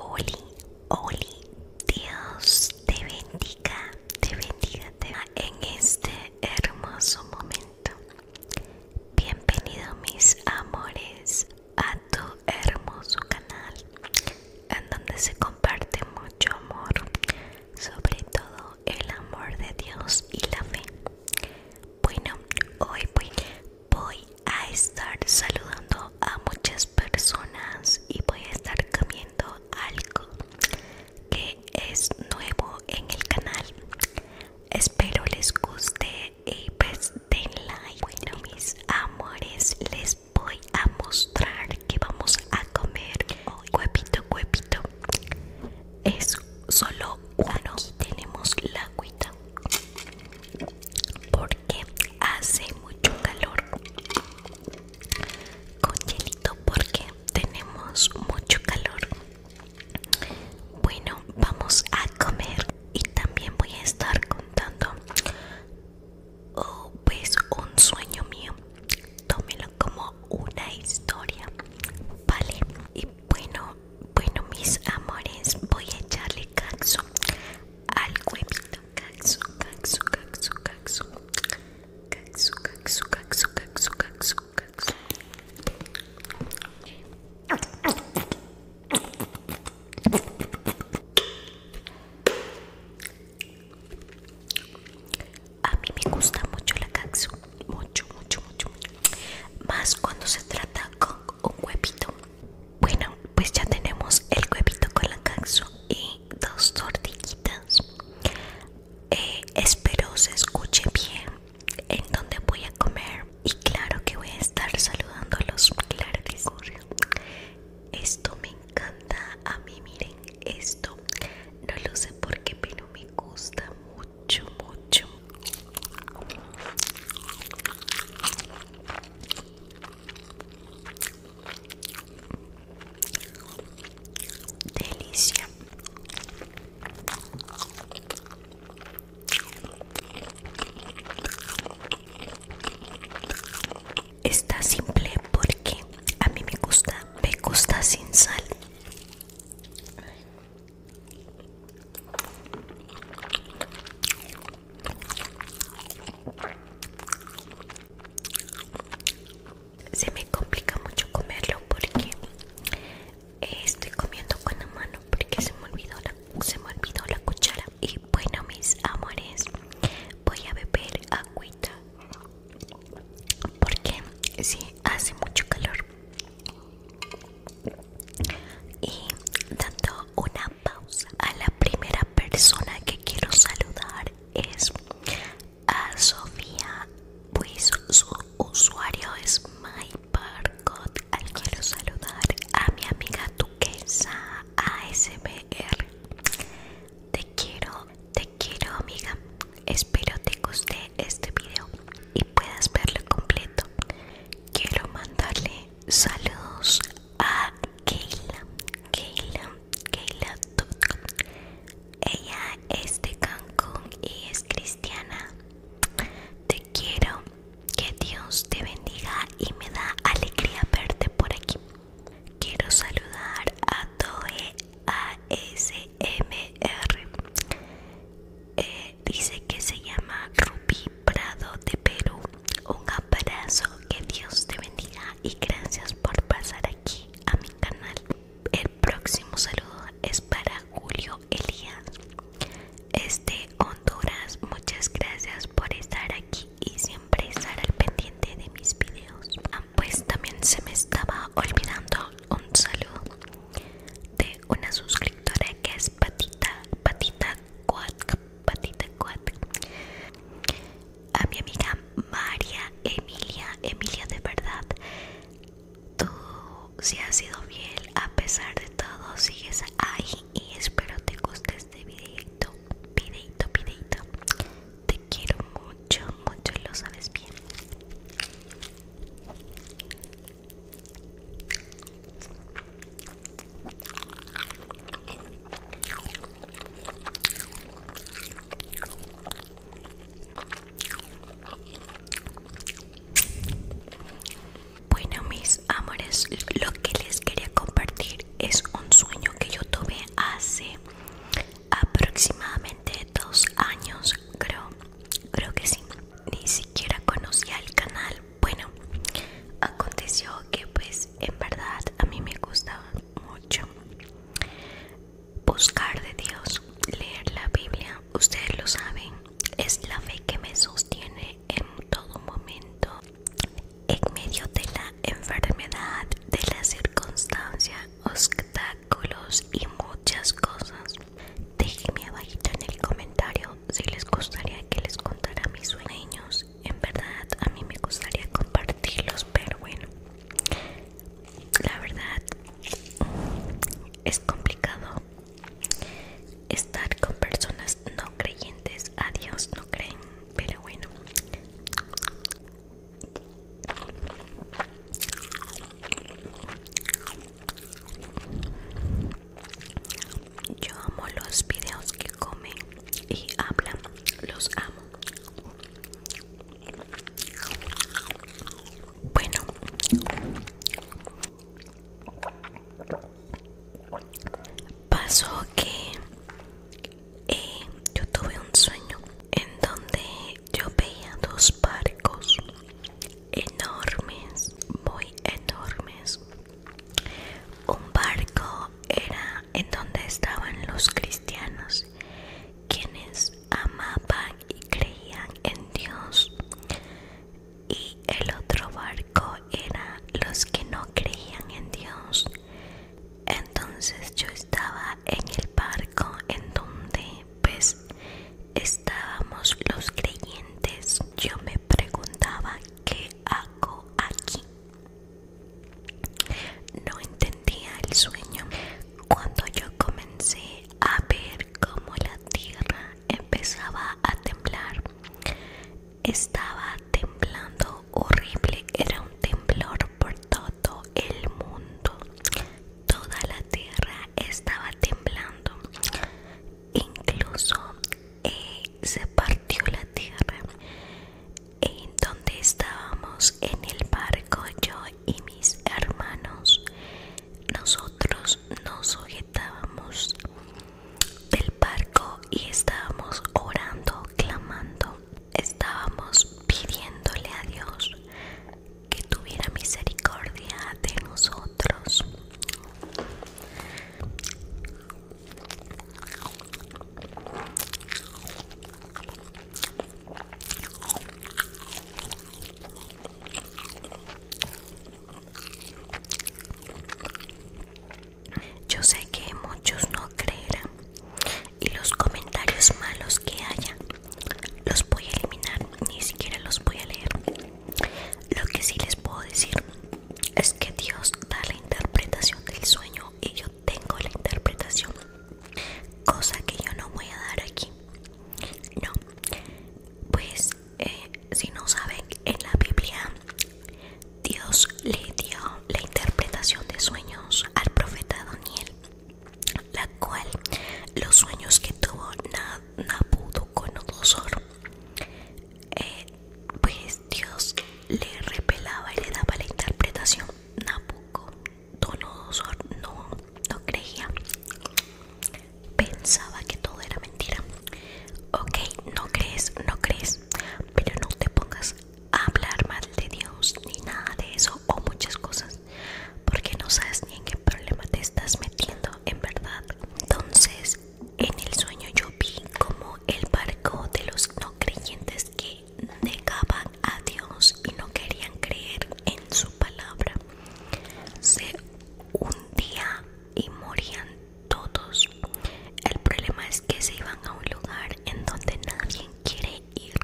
Oli, Oli, Dios te bendiga, te bendiga en este hermoso momento. Bienvenido mis amores a tu hermoso canal, en donde se comparte mucho amor, sobre todo el amor de Dios y la fe. Bueno, hoy voy, voy a estar saludando a muchas personas y voy a estar comiendo algo que es nuevo en el canal espero les guste y pues den like bueno mis amores les voy a mostrar que vamos a comer hoy huevito huevito es solo uno Aquí tenemos la agüita por que hace mucho calor con hielito porque tenemos mucho calor bueno vamos a comer y también voy a estar contando oh, pues un sueño mío tómelo como una historia vale y bueno bueno mis amores voy a echarle calzo al huevito caxo, caxo, caxo Caxo, caxu caxo, caxo Caxo, caxo, caxo a mí me gusta mucho la caxo mucho mucho mucho mucho más cuando se trata con un huevito. Bueno, pues ya tenemos el huevito con la canción y dos tortillitas. Eh, espero se escuche bien en donde voy a comer. Y claro que voy a estar saludando a los claros Esto me encanta. A mí, miren, esto no lo sé por qué, pero me gusta mucho, mucho, Delicia. Está simple porque a mí me gusta, me gusta sin sal. Se me complica mucho comerlo porque eh, estoy comiendo con la mano porque se me olvidó la, se me olvidó la cuchara. Y bueno, mis amores, voy a beber agüita porque si hace mucho calor y dando una pausa a la primera persona que quiero saludar es a Sofía pues su usuario es myparkot. al quiero saludar a mi amiga Tuquesa ASMR te quiero te quiero amiga espero te guste este video y puedas verlo completo quiero mandarle saludos a Keila, Keila, Keila Ella es de Cancún y es cristiana. Te quiero, que Dios te bendiga y me da alegría verte por aquí. Quiero saludar a Toe ASMR. R. Eh, Dice que se llama ruby Prado de Perú. Un abrazo, que Dios te bendiga y gracias por pasar aquí a mi canal. El próximo saludo es para Julio Elías. Este Honduras, muchas gracias por estar aquí y siempre estar al pendiente de mis videos. Ah, pues también se me estaba olvidando un saludo de una suscriptora que es Patita, Patita cuat Patita cuat a mi amiga María Emilia, Emilia de verdad, tú si has sido fiel a pesar de todo, sigues ahí y espero te guste este videito, videito, videito, te quiero mucho, mucho, lo sabes bien. Bueno mis amores, lo que les quería compartir es un sueño que yo tuve hace aproximadamente dos años creo Creo que sí, ni siquiera conocía el canal. Bueno, aconteció que pues en verdad a mí me gustaba mucho buscar de Dios, leer la Biblia. Ustedes lo saben, es la fe que me sostiene en todo momento. En medio de la enfermedad, de la circunstancia, obstáculos y muchas cosas. Déjenme abajita en el comentario si les gustaría que les contara mis sueños. En verdad a mí me gustaría compartirlos, pero bueno, la verdad es complicado estar con personas no creyentes. A Dios no creen, pero bueno. Yo amo los videos que comen y hablan, los amo. Bueno. Pasó que eh, yo tuve un sueño en donde yo veía dos barcos enormes, muy enormes. Un barco era en donde estaban los cristianos, quienes amaban y creían en Dios. Y el otro barco era los que no creían en Dios. Entonces yo estaba en el barco en donde pues estábamos los creyentes. Yo me preguntaba qué hago aquí. No entendía el sueño. Cuando yo comencé a ver cómo la tierra empezaba a temblar, estaba temblando horrible. Era un temblor por todo el mundo. Toda la tierra estaba temblando, incluso eh, se partió la tierra. En donde estábamos en el barco, yo y mis hermanos, nosotros nos sujetábamos del barco y estábamos orando, clamando, estábamos pidiéndole a Dios que tuviera misericordia de nosotros. Yo sé que muchos no creerán y los comentarios malos que haya los voy a eliminar, ni siquiera los voy a leer. Lo que sí les puedo decir es que Dios da la interpretación del sueño y yo tengo la interpretación, cosa que yo no voy a dar aquí. No, pues eh, si no saben, en la Biblia Dios le dio la interpretación de sueños al profeta Daniel la cual los sueños que tuvo Nabudo con dosor eh, pues Dios le repelaba y le daba la interpretación. Nabucodonosor no, no creía, pensaba que todo era mentira. Ok, no crees, no crees, pero no te pongas a hablar mal de Dios ni nada de eso o muchas cosas porque no sabes ni en qué problema te estás metiendo en verdad entonces en el sueño yo vi como el barco de los no creyentes que negaban a Dios y no querían creer en su palabra se hundía y morían todos el problema es que se iban a un lugar en donde nadie quiere ir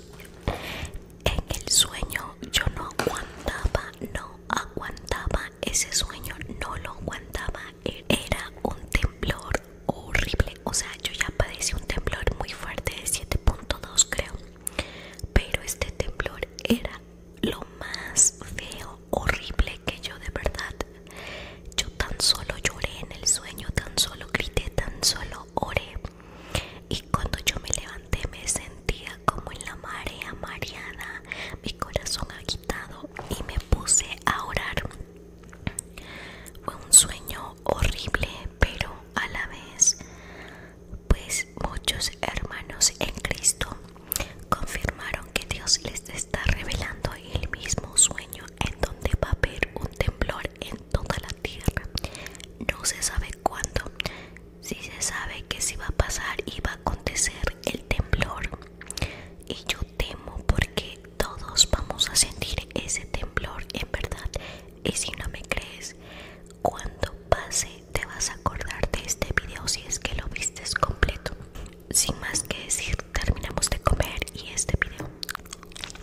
en el sueño yo no aguantaba, no aguantaba ese sueño, no lo aguantaba. Era un temblor horrible. O sea, yo ya padecí un temblor muy fuerte de 7.2 creo. Pero este temblor era lo más feo, horrible que yo de verdad. Yo tan solo lloré en el sueño, tan solo grité, tan solo oré y cuando yo me levanté me sentía como en la marea mariana mi corazón agitado y me puse a orar. Fue un sueño horrible, pero a la vez, pues muchos hermanos en Cristo confirmaron que Dios les está revelando el mismo sueño en donde va a haber un temblor en toda la tierra. No se sabe cuándo. Si se sabe que si va a pasar y va a acontecer el temblor. Y yo temo porque todos vamos a sentir ese temblor en verdad. Y si no me crees, cuando pase te vas a acordar de este video si es que lo viste completo. Sin más que decir, terminamos de comer y este video.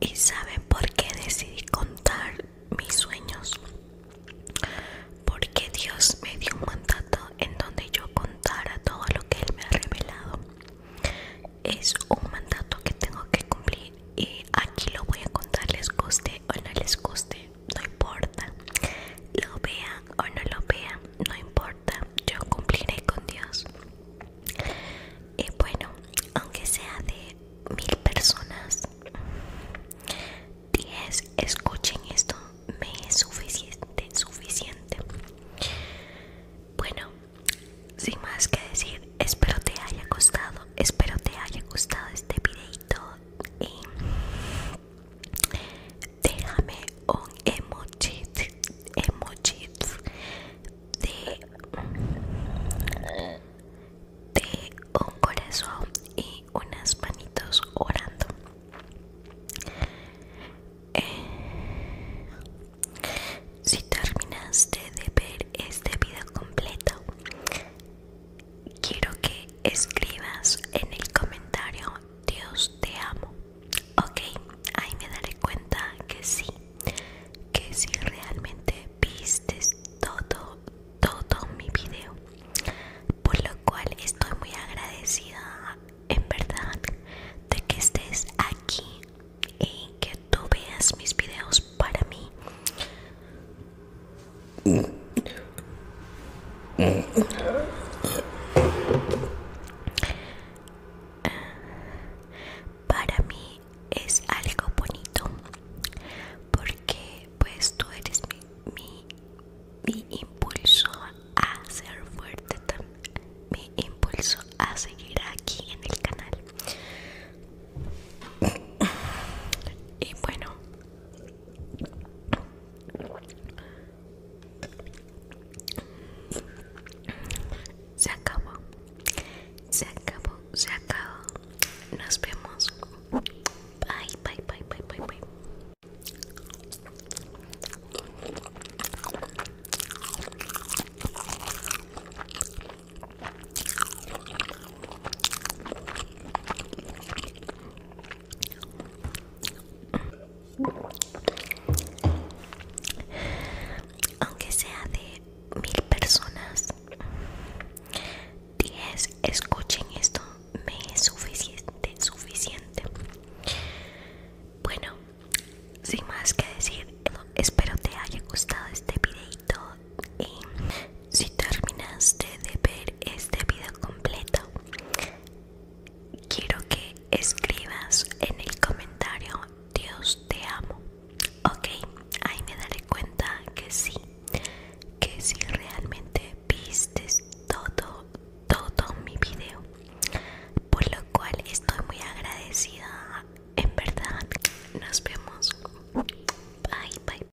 ¿Y saben por qué decidí contar mis sueños? Porque Dios me dio un mandato en donde yo contara todo lo que Él me ha revelado. Es un mandato que tengo que cumplir y aquí lo voy a contar, les guste o no les guste, no importa. Lo vean o no lo vean, no importa yo cumpliré con Dios. Y eh, bueno, aunque sea de mil personas, diez escuchen esto, me es suficiente, suficiente. Bueno, sin más que decir, espero te haya gustado, espero te haya gustado este videito y déjame un emoji emoji de, de un corazón y unas manitos orando eh, si terminaste de ver este video completo quiero que escribas en el comentario Dios te amo Ok, ahí me daré cuenta que sí, que sí realmente viste todo, todo mi video. Por lo cual estoy muy agradecida, en verdad, de que estés aquí y que tú veas mis videos para mí. Para mí es algo bonito porque pues tú eres mi, mi, mi impulso a ser fuerte, mi impulso a seguir aquí en el canal. Y bueno, se acabó, se acabó, se acabó. Nos vemos. Bye, bye, bye, bye, bye, bye aunque sea de mil personas 10 escuchen esto me es suficiente suficiente bueno sin más que decir espero te haya gustado este videito y si terminaste de ver este video completo quiero que escribas en el comentario Dios te amo. Ok, ahí me daré cuenta que sí, que sí realmente viste todo, todo mi video. Por lo cual estoy muy agradecida, en verdad. Nos vemos. Bye, bye.